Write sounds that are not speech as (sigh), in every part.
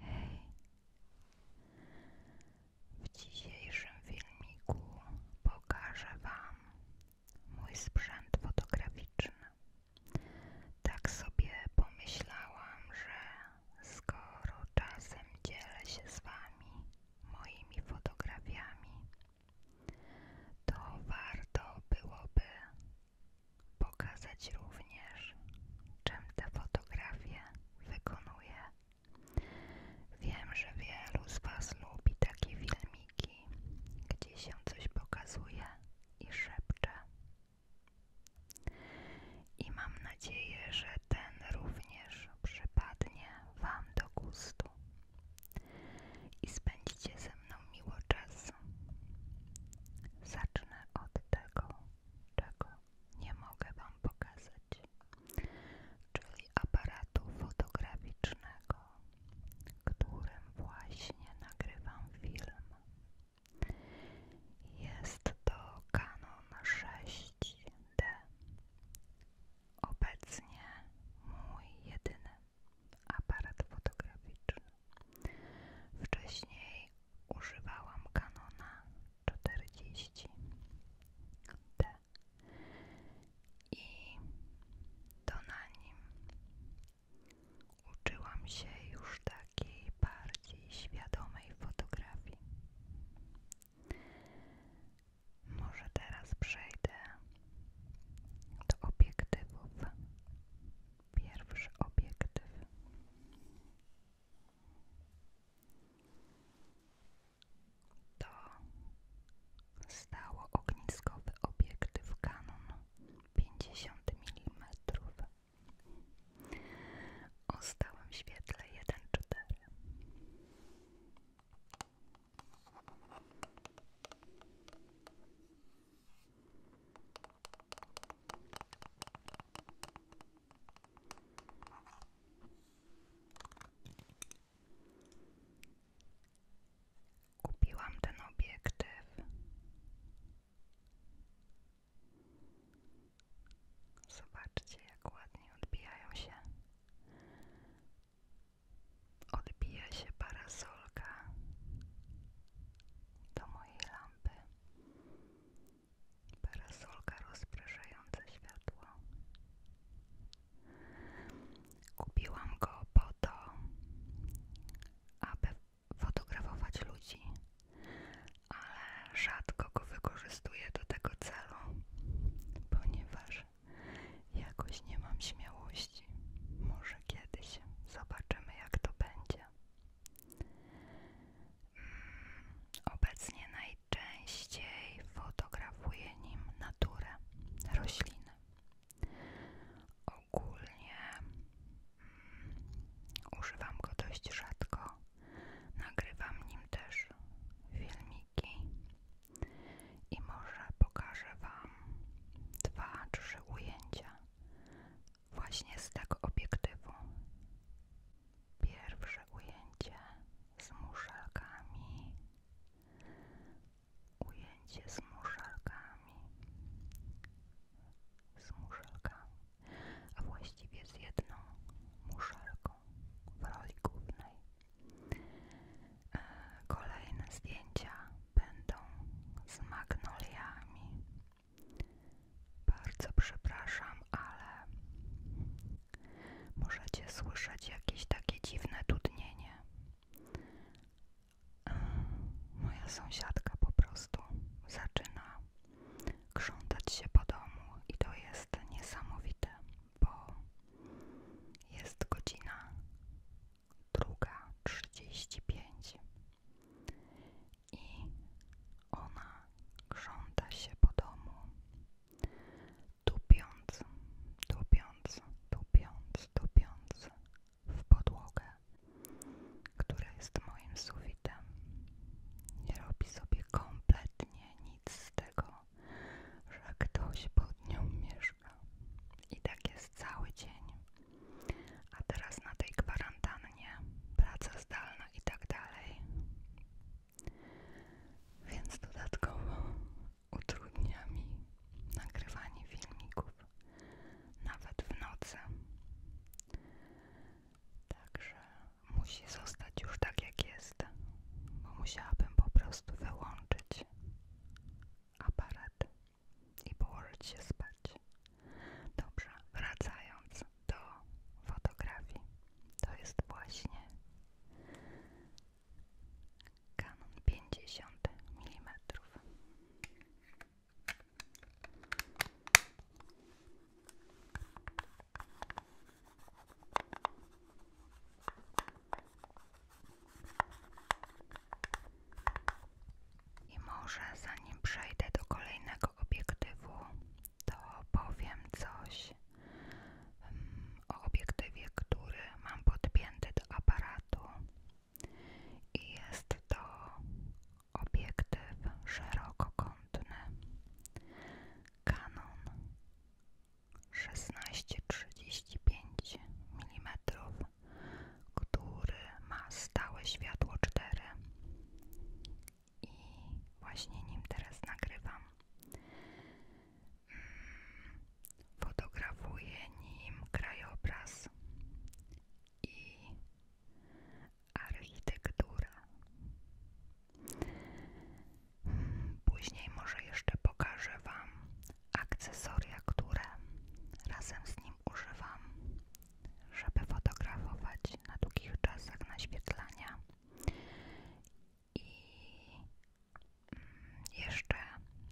Hej! W dzisiejszym filmiku pokażę Wam mój sprzęt fotograficzny. Tak sobie pomyślałam, że skoro czasem dzielę się z Wami moimi fotografiami, to warto byłoby Pokazać również, czym te fotografie wykonuję. Wiem, że wielu z Was lubi takie filmiki, gdzie się coś pokazuje i szepcze. I mam nadzieję, że ten również przypadnie Wam do gustu i spędzicie ze mną miło czas Zacznę od tego, czego nie mogę Wam pokazać, czyli aparatu fotograficznego, którym właśnie nagrywam film. Jest to Canon 6D. Obecnie mój jedyny aparat fotograficzny. Wcześniej używałam Canona 40D i to na nim uczyłam się już takiej bardziej świadomej fotografii. Może teraz przejdę do obiektywów Pierwszy obiektyw. To stało ogniskowy obiektyw kanon 50 milimetrów. o stałym świetle 1.4. Kupiłam ten obiektyw Zobaczcie jak ładnie odbijają się Odbija się parasolka do mojej parasolka rozpraszająca światło. Kupiłam go po to, aby fotografować ludzi, ale rzadko go wykorzystuję do tego celu, ponieważ jakoś nie mam śmiałości. Może kiedyś zobaczymy, jak to będzie. Mm, obecnie najczęściej fotografuję nim naturę, rośliny. Ogólnie mm, używam go dość rzadko. Nagrywam nim też filmiki i może pokażę Wam dwa, trzy ujęcia właśnie z tego obiektywu. Pierwsze ujęcie z muszelkami. Ujęcie z muszelkami. Z muszelkami. A właściwie z jedną muszelką w roli głównej. E, kolejne zdjęcia będą z magnoliami. Bardzo przepraszam, ale możecie słyszeć jakieś takie dziwne dudnienie. E, moja sąsiadka po prostu zaczyna krzątać się po domu i to jest niesamowite, bo jest godzina druga trzydzieści pięć i ona krząta się po domu, tupiąc, tupiąc, tupiąc, tupiąc w podłogę, która jest moim sufitem. Nie robi sobie kompletnie nic z tego, że ktoś pod nią mieszka. I tak jest cały dzień. A teraz na tej kwarantannie, praca zdalna i tak dalej. Więc dodatkowo utrudnia mi nagrywanie filmików nawet w nocy. Także musi zostać już tak jak jest, bo musiałabym po prostu wyłączyć aparat i położyć się spać. Dobrze, wracając do fotografii, to jest właśnie Canon 50 mm. I może zanim przejdę do kolejnego obiektywu, to powiem coś mm, o obiektywie, który mam podpięty do aparatu. I jest to obiektyw szerokokątny Canon 16-35 mm który ma stałe światło 4 i właśnie nim teraz nagrywam. Mm, fotografuję nim krajobraz i architekturę. Mm, później może jeszcze pokażę Wam akcesoria, które razem z nim używam żeby fotografować na długich czasach naświetlania i mm, jeszcze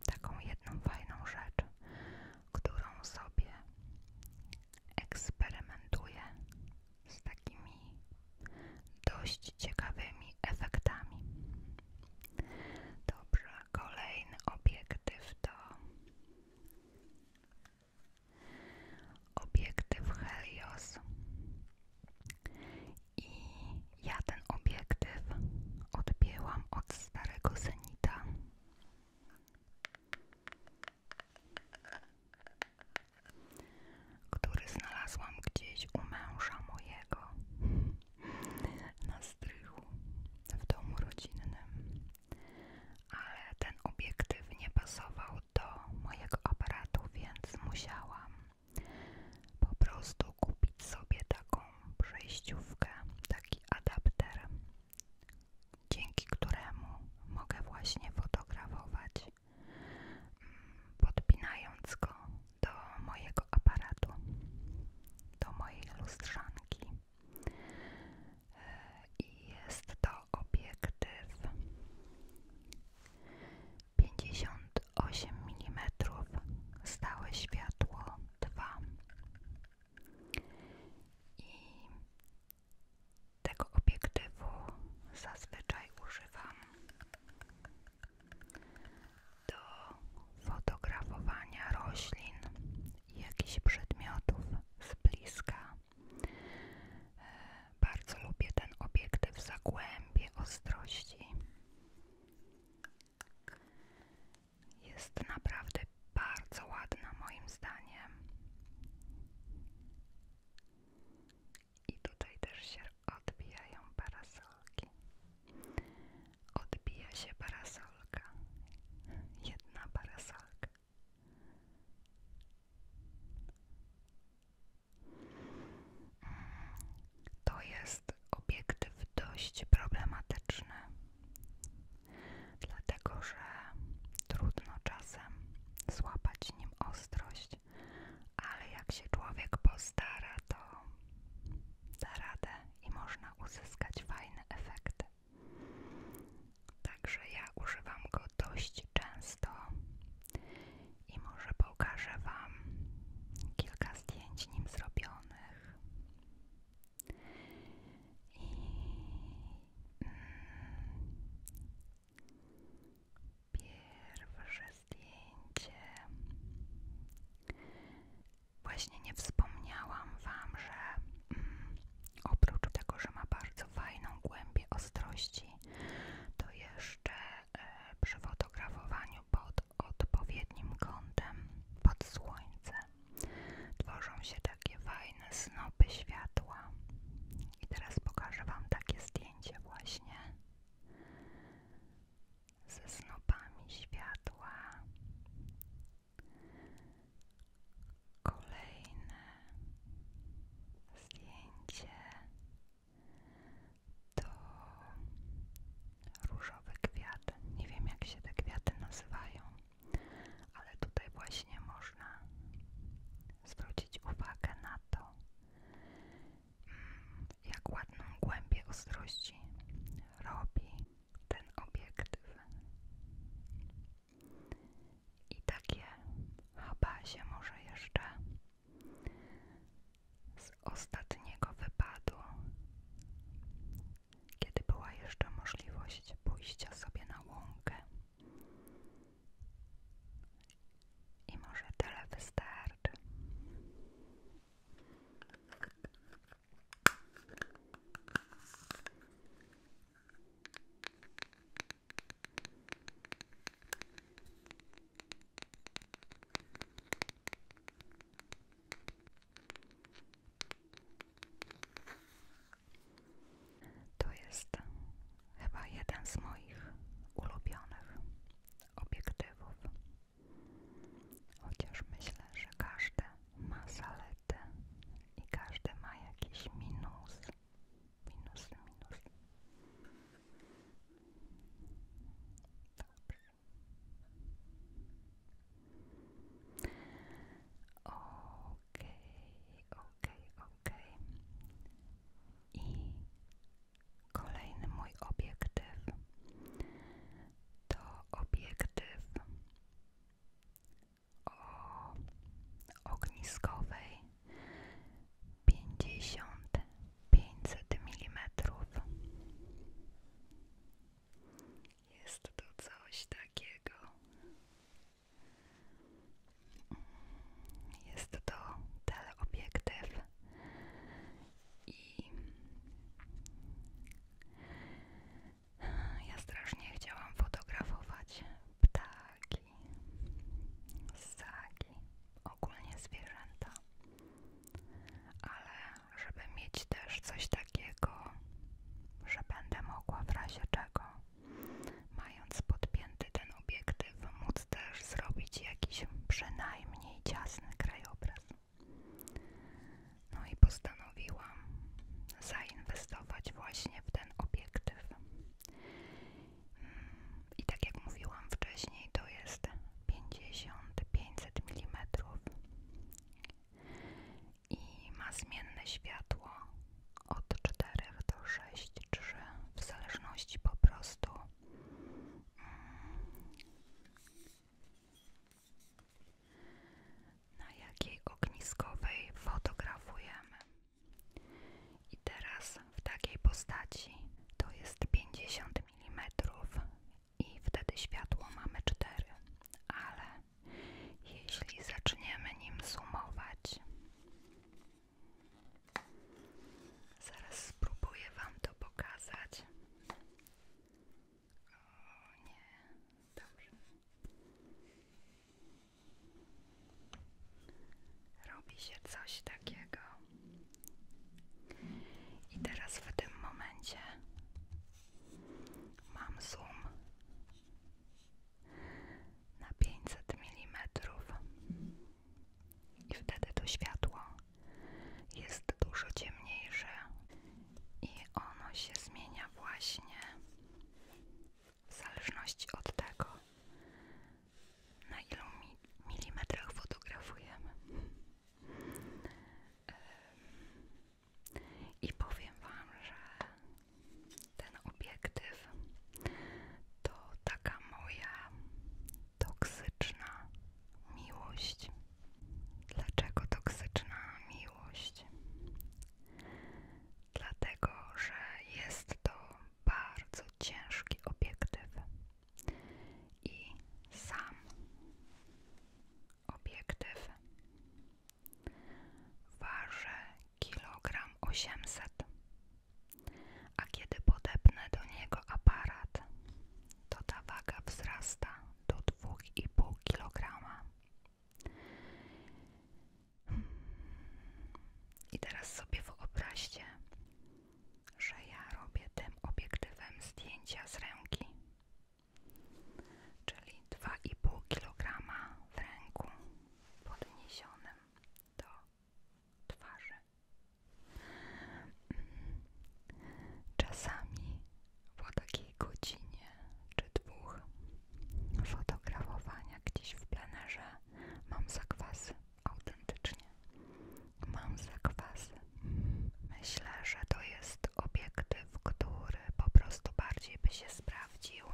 taką jedną fajną rzecz, którą sobie eksperymentuję z takimi dość ciekawymi efektami. Dobrze, kolejny obiektyw to obiektyw Helios i ja ten obiektyw odbiłam od starego Zenita. Który znalazłam gdzieś u męża mojego (laughs) na strychu w domu rodzinnym ale ten obiektyw nie pasował do mojego aparatu, więc musiałam po prostu kupić sobie taką przejściówkę, taki adapter, dzięki któremu mogę właśnie fotografować, mm, podpinając go do mojego aparatu, do mojej lustrzanki i jest to obiektyw pięćdziesiąt osiem milimetrów stałe światło 2 i tego obiektywu zazwyczaj używam do fotografowania roślin jakichś przedmiotów z bliska. E, bardzo lubię ten obiektyw zagłębie ostrości. Jest naprawdę bardzo ładna moim zdaniem. I tutaj też się odbijają parasolki. Odbija się parasolka. Jedna parasolka. To jest obiektyw dość problematyczny, dlatego że trudno czasem złapać nim ostrość, ale jak się człowiek postara, to da radę i można uzyskać fajne efekty. Także ja używam go dość często i może pokażę Wam kilka zdjęć nim zrobionych. Mm, pierwsze zdjęcie. Właśnie nie wspomniałam Wam, że mm, Oprócz tego, że ma bardzo fajną głębię ostrości, to jeszcze e, przy fotografowaniu pod odpowiednim kątem, pod słońce, tworzą się takie fajne snopy światła. I teraz pokażę Wam takie zdjęcie właśnie ze snopami światła Kolejne zdjęcie to różowy kwiat. Nie wiem jak się te kwiaty nazywają, ale tutaj właśnie można zwrócić uwagę na to, mm, jak ładną głębię ostrości robi ten obiektyw i takie habasie może jeszcze z ostatniego wypadu, kiedy była jeszcze możliwość pójścia sobie na łąkę. I może tyle wystarczy. To jest chyba jeden z moich ulubionych obiektywów. Chociaż myślę, że każde ma zalety karty i każdy ma jakiś minus. Minus, minus. Dobrze. Okej, okay, okay, Okay. I kolejny mój obiektyw to obiektyw o ogniskowej 50 pięćset mm. Jest to coś takiego. Jest to teleobiektyw i ja strasznie chciałam fotografować ptaki, ssaki, ogólnie zwierzęta, ale żeby mieć też coś takiego, że będę mogła w razie czego, mając podpięty ten obiektyw, móc też zrobić jakiś przynajmniej ciasny krajobraz. No i postanowiłam postanowiłam zainwestować właśnie w ten obiektyw. Mm, I tak jak mówiłam wcześniej, to jest 50-500 mm i ma zmienne światło od 4 do 6, czy w zależności po prostu mm, na jakiej ogniskowej fotografujemy. I teraz w takiej postaci to jest 50 mm i wtedy światło mamy 4, ale jeśli zaczniemy nim sumować, zaraz spróbuję Wam to pokazać. O nie, dobrze. Robi się coś takiego. I teraz w tym momencie mam zoom na 500 mm. I wtedy to światło jest dużo ciemniejsze i ono się zmienia właśnie w zależności od tego, na ilu mi milimetrach fotografujemy. I powiem Wam, że ten obiektyw to taka moja toksyczna miłość. Dlaczego toksyczna miłość? dlatego że jest to bardzo ciężki obiektyw i sam obiektyw waży kilogram 800 a kiedy podepnę do niego aparat to ta waga wzrasta do 2,5 kg i teraz sobie wyobraźcie, że ja robię tym obiektywem zdjęcia z ręki, czyli 2,5 kg w ręku podniesionym do twarzy. Czasami po takiej godzinie czy dwóch fotografowania gdzieś w plenerze mam zakwas autentycznie mam zakwas Myślę, że to jest obiektyw, który po prostu bardziej by się sprawdził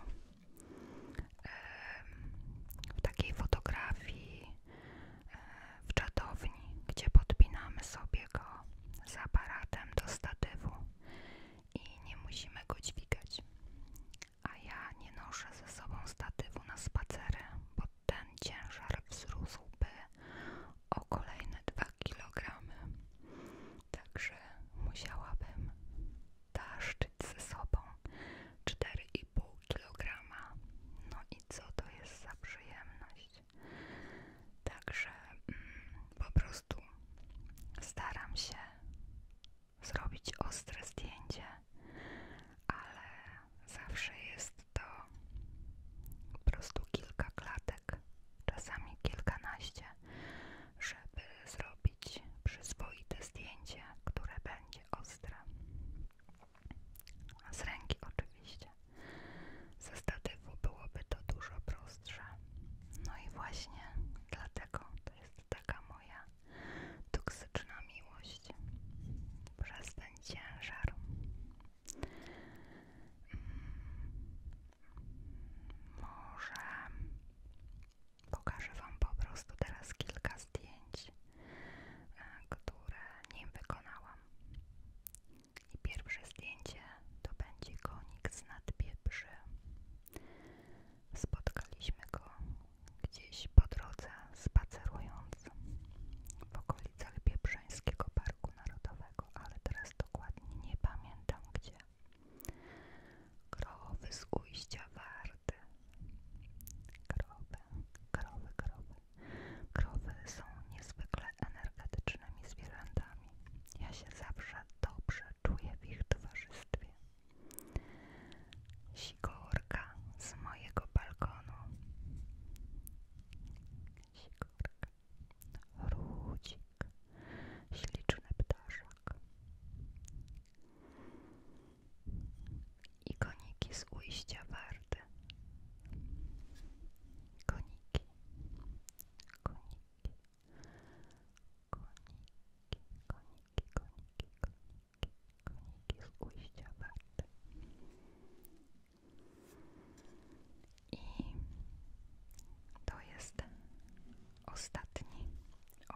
w takiej fotografii w czatowni, gdzie podpinamy sobie go z aparatem do statywu i nie musimy go dźwigać. A ja nie noszę ze sobą statywu na spacery, bo ten ciężar wzrósłby o kolejne 2 kg. Także musiałabym taszczyć ze sobą 4,5 kg. No i co to jest za przyjemność? Także mm, po prostu staram się zrobić ostre zdjęcie, ale zawsze jest to po prostu kilka klatek, czasami kilkanaście, żeby zrobić przyzwoite zdjęcie, które będzie ostre. Z ręki oczywiście. Ze statywu byłoby to dużo prostsze. No i właśnie dlatego jest taka moja toksyczna miłość przez ten ciężar. Mm. Może pokażę Wam po prostu teraz kilka zdjęć, e, które nie wykonałam. I pierwsze zdjęcie to będzie konik z nadpieprzy. Spotkaliśmy go gdzieś po drodze spacerując w okolicach Biebrzańskiego Parku Narodowego, ale teraz dokładnie nie pamiętam gdzie. Krowy z ujścia warty. Krowy, krowy, krowy. Krowy są niezwykle energetycznymi zwierzętami. Ja się zawsze dobrze czuję w ich towarzystwie. Sigorka z mojego balkonu. Sigorka. Rudzik. Śliczny ptaszak. I koniki z ujścia warty. Koniki. Koniki koniki, koniki, koniki, koniki, koniki z ujścia warty. I to jest ostatni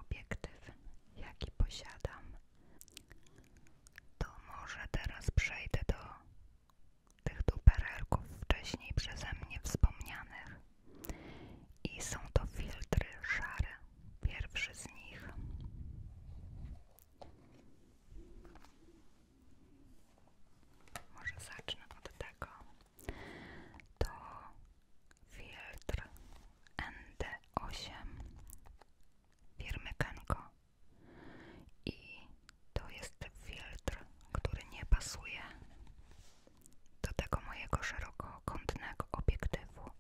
obiektyw, jaki posiadam. To może teraz przejdę do tych duperelków wcześniej przeze mnie wspomnianych. I są to filtry szare. Pierwszy z nich. Może zacznę od tego. To filtr ND8 firmy Kenko. I to jest filtr, który nie pasuje do tego mojego szerokokątnego obiektywu.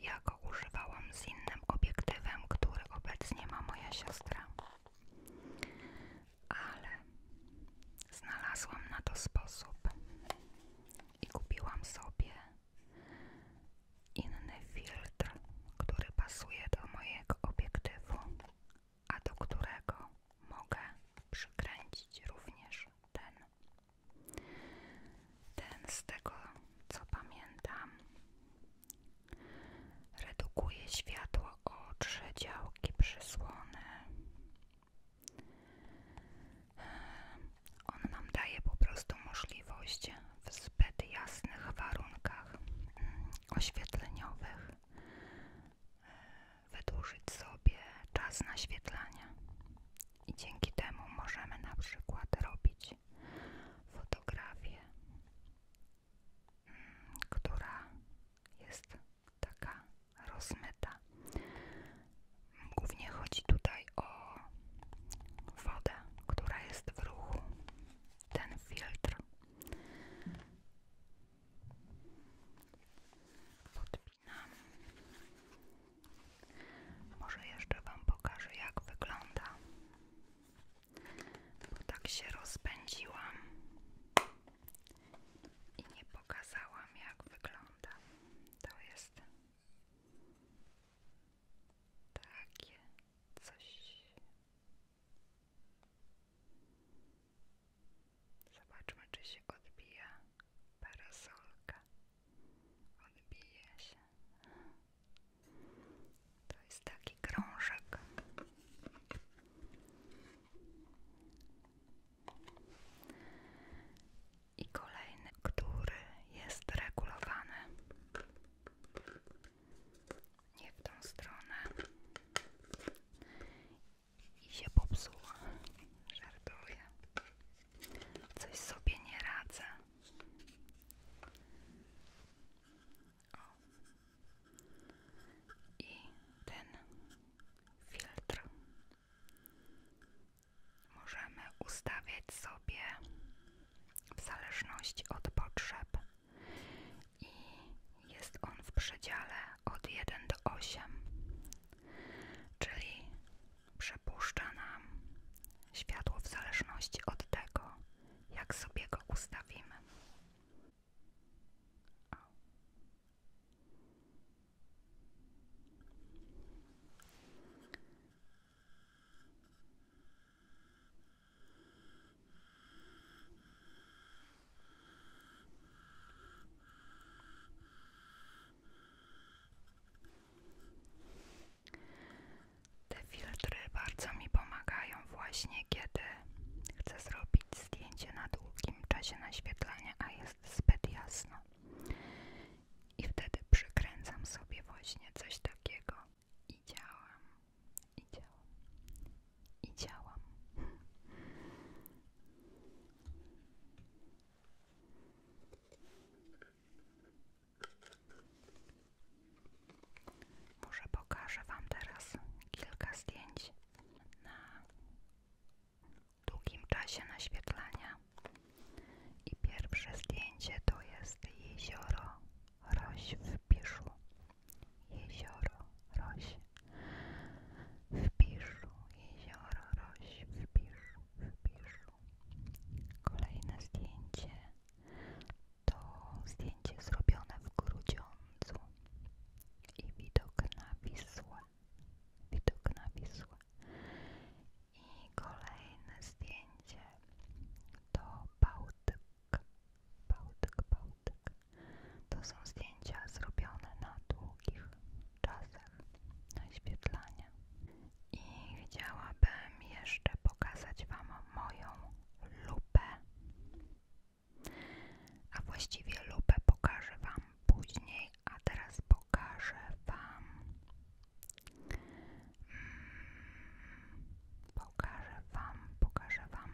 Ja go używałam z innym obiektywem, który obecnie ma moja siostra. Ale znalazłam na to sposób i kupiłam sobie inny filtr, który pasuje do mojego obiektywu, a do którego mogę przykręcić również ten. Ten z tego co pamiętam redukuje światło o trzy działki przysłony. On nam daje po prostu możliwość w zbyt jasnych warunkach mm, oświetleniowych wydłużyć sobie czas naświetlania i dzięki temu możemy na przykład robić fotografię, mm, która jest taka rozmyta. Głównie chodzi tutaj o wodę, która jest w ruchu, ten filtr. Podpisuję przypominam. Może jeszcze Wam pokażę, jak wygląda, bo tak się rozpędziłam i nie pokazałam, jak wygląda. To jest takie coś. Zobaczmy, czy się odbija parasolka. Odbija się. To jest taki krążek. I kolejny, który jest regulowany. Nie w tą stronę i się popsuła. Żartuję. Coś sobie nie radzę. I ten filtr możemy ustawiać sobie w zależności od potrzeb i jest on w przedziale od 1 do 8 Czyli przepuszcza nam światło w zależności od tego, jak sobie go ustawimy. Te filtry bardzo mi pomagają właśnie kiedy chcę zrobić zdjęcie na długim czasie naświetlania, a jest zbyt jasno. I wtedy przykręcam sobie właśnie coś takiego i działam, i działam, i działam. Może pokażę Wam teraz kilka zdjęć na długim czasie naświetlania. I pierwsze zdjęcie to jest jezioro Roś w Piszu. Jezioro Roś w Piszu, jezioro Roś w Piszu. Zbierz. Kolejne zdjęcie to zdjęcie zrobione w Grudziądzu i widok na Wisłę. Widok na Wisłę. I kolejne zdjęcie to Bałtyk. Bałtyk, Bałtyk. To są zdjęcia zrobione na długich czasach naświetlania. I chciałabym jeszcze pokazać Wam moją lupę. A właściwie lupę pokażę Wam później, a teraz pokażę Wam. Mm, pokażę Wam, pokażę Wam.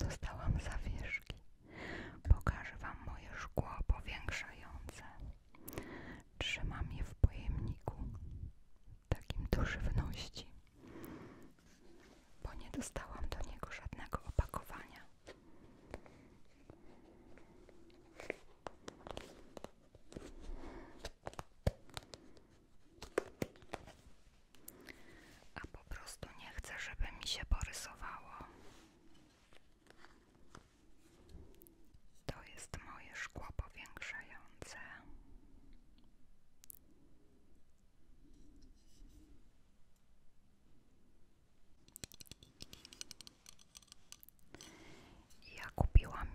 Dostałam zawieszki. Pokażę Wam moje szkło powiększające. Trzymam je w pojemniku, takim do żywności, bo nie dostałam do niego żadnego opakowania. A po prostu nie chcę, żeby mi się borysowało. To jest moje szkło powiększające. Ja kupiłam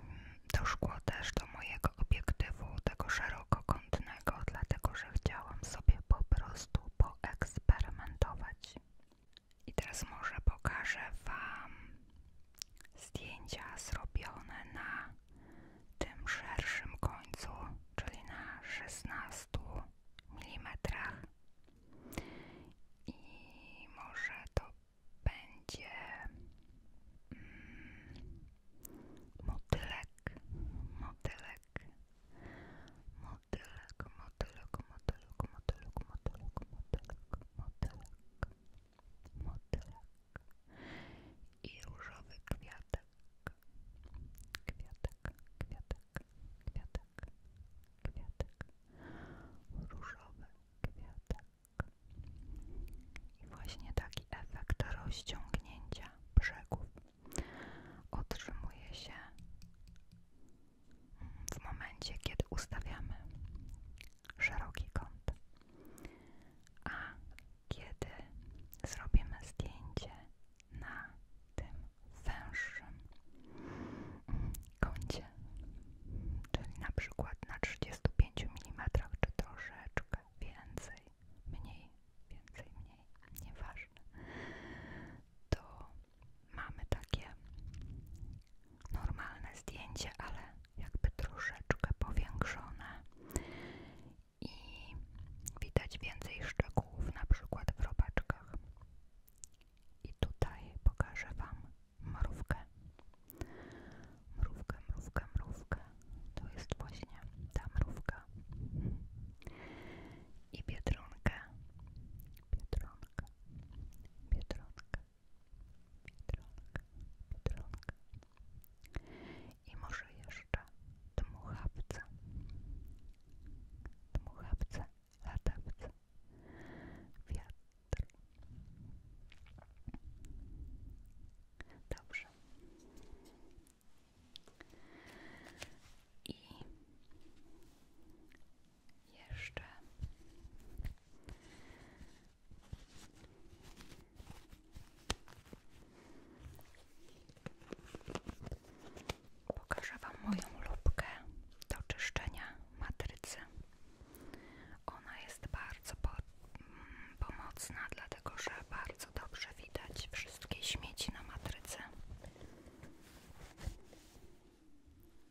to szkło też do mojego obiektywu, tego szerokokątnego, dlatego że chciałam sobie po prostu poeksperymentować i teraz może pokażę Wam zdjęcia zrobione na tym szerszym końcu, czyli na 16 mm. I może to będzie mm, motylek, motylek, motylek motylek, motylek, motylek, motylek, motylek, motylek, motylek, motylek i różowy kwiatek, kwiatek, kwiatek, kwiatek, kwiatek, różowy kwiatek. I właśnie taki efekt rozciągnięcia brzegów otrzymuje się w momencie, kiedy ustawiamy szeroki kąt. A kiedy zrobimy zdjęcie na tym węższym kącie, czyli na przykład na 35 mm, czy troszeczkę więcej, mniej, więcej, mniej, nieważne, to mamy takie normalne zdjęcie, ale jakby troszeczkę powiększone i widać więcej szczegółów, na przykład w robaczkach. I tutaj pokażę Wam mrówkę. Mrówkę, mrówkę, mrówkę. To jest właśnie ta mrówka i Biedronkę. Biedronka, Biedronka, Biedronka, Biedronka. I może jeszcze dmuchawce. Dmuchawce, latawce, wiatr. Dobrze. I jeszcze pokażę Wam moją lubkę do czyszczenia matrycy. Ona jest bardzo mm, pomocna, dlatego że bardzo dobrze widać wszystkie śmieci na matryce.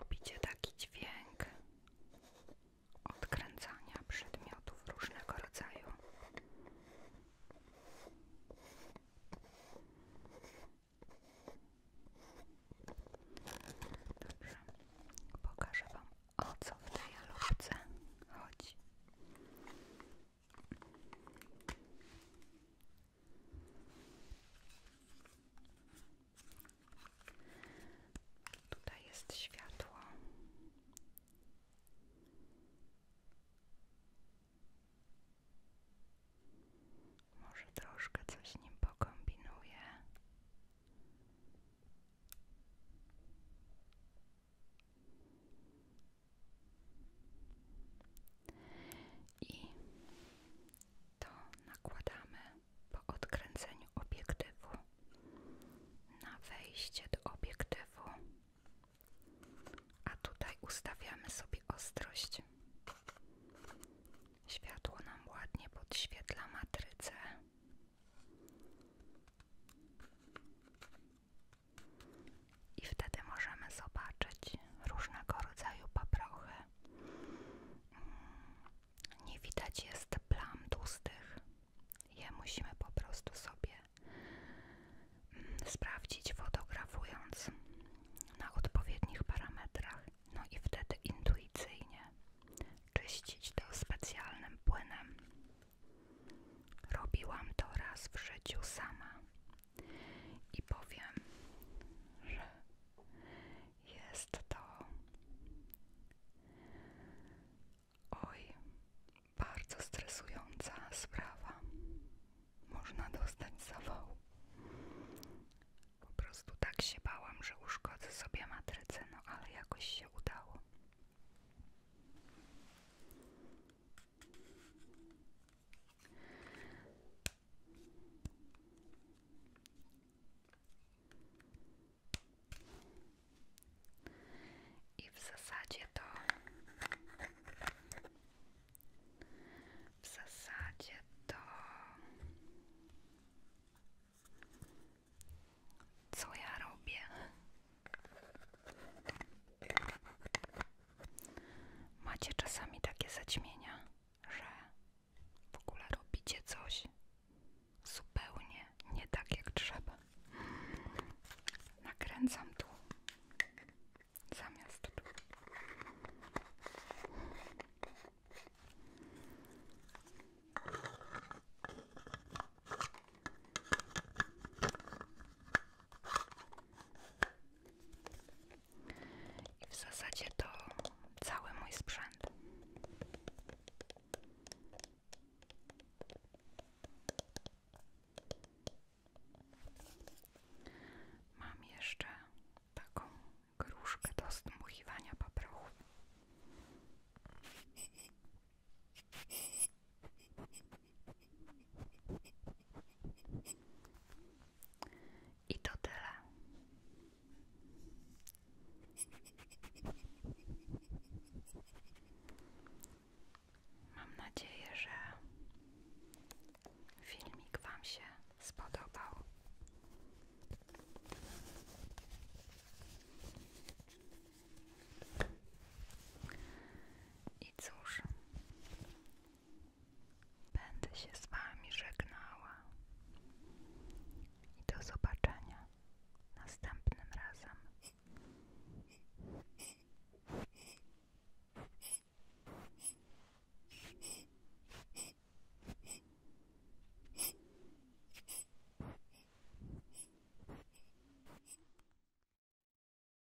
Lubicie taki dźwięk odkręcania przedmiotów różnego rodzaju? pokażę Wam o co w tej lubce chodzi. Tutaj jest światło. Może troszkę coś nim pokombinuję. I to nakładamy po odkręceniu obiektywu na wejście do obiektywu, a tutaj ustawiamy sobie ostrość. Światło nam ładnie podświetla matrycę. I wtedy możemy zobaczyć różnego rodzaju paprochy. Mm, nie widać jest plam tłustych. Je musimy po prostu sobie mm, sprawdzić fotografując na odpowiednich parametrach. No i wtedy intuicyjnie czyścić to specjalnym płynem. Robiłam to raz w życiu sama i powiem, że jest to oj, bardzo stresująca sprawa. Można dostać zawału. Po prostu tak się bałam, że uszkodzę sobie matrycę, no ale jakoś się udało. I w zasadzie to w zasadzie to co ja robię? Macie czasami takie zaćmienia, że w ogóle robicie coś zupełnie nie tak jak trzeba. Nakręcam tu zamiast tu w zasadzie to cały mój sprzęt. Mam jeszcze taką gruszkę do zdmuchiwania paprochów. I to tyle. Mam nadzieję, że filmik Wam się spodobał. I cóż, Będę się z Wami żegnała i do zobaczenia następnym razem.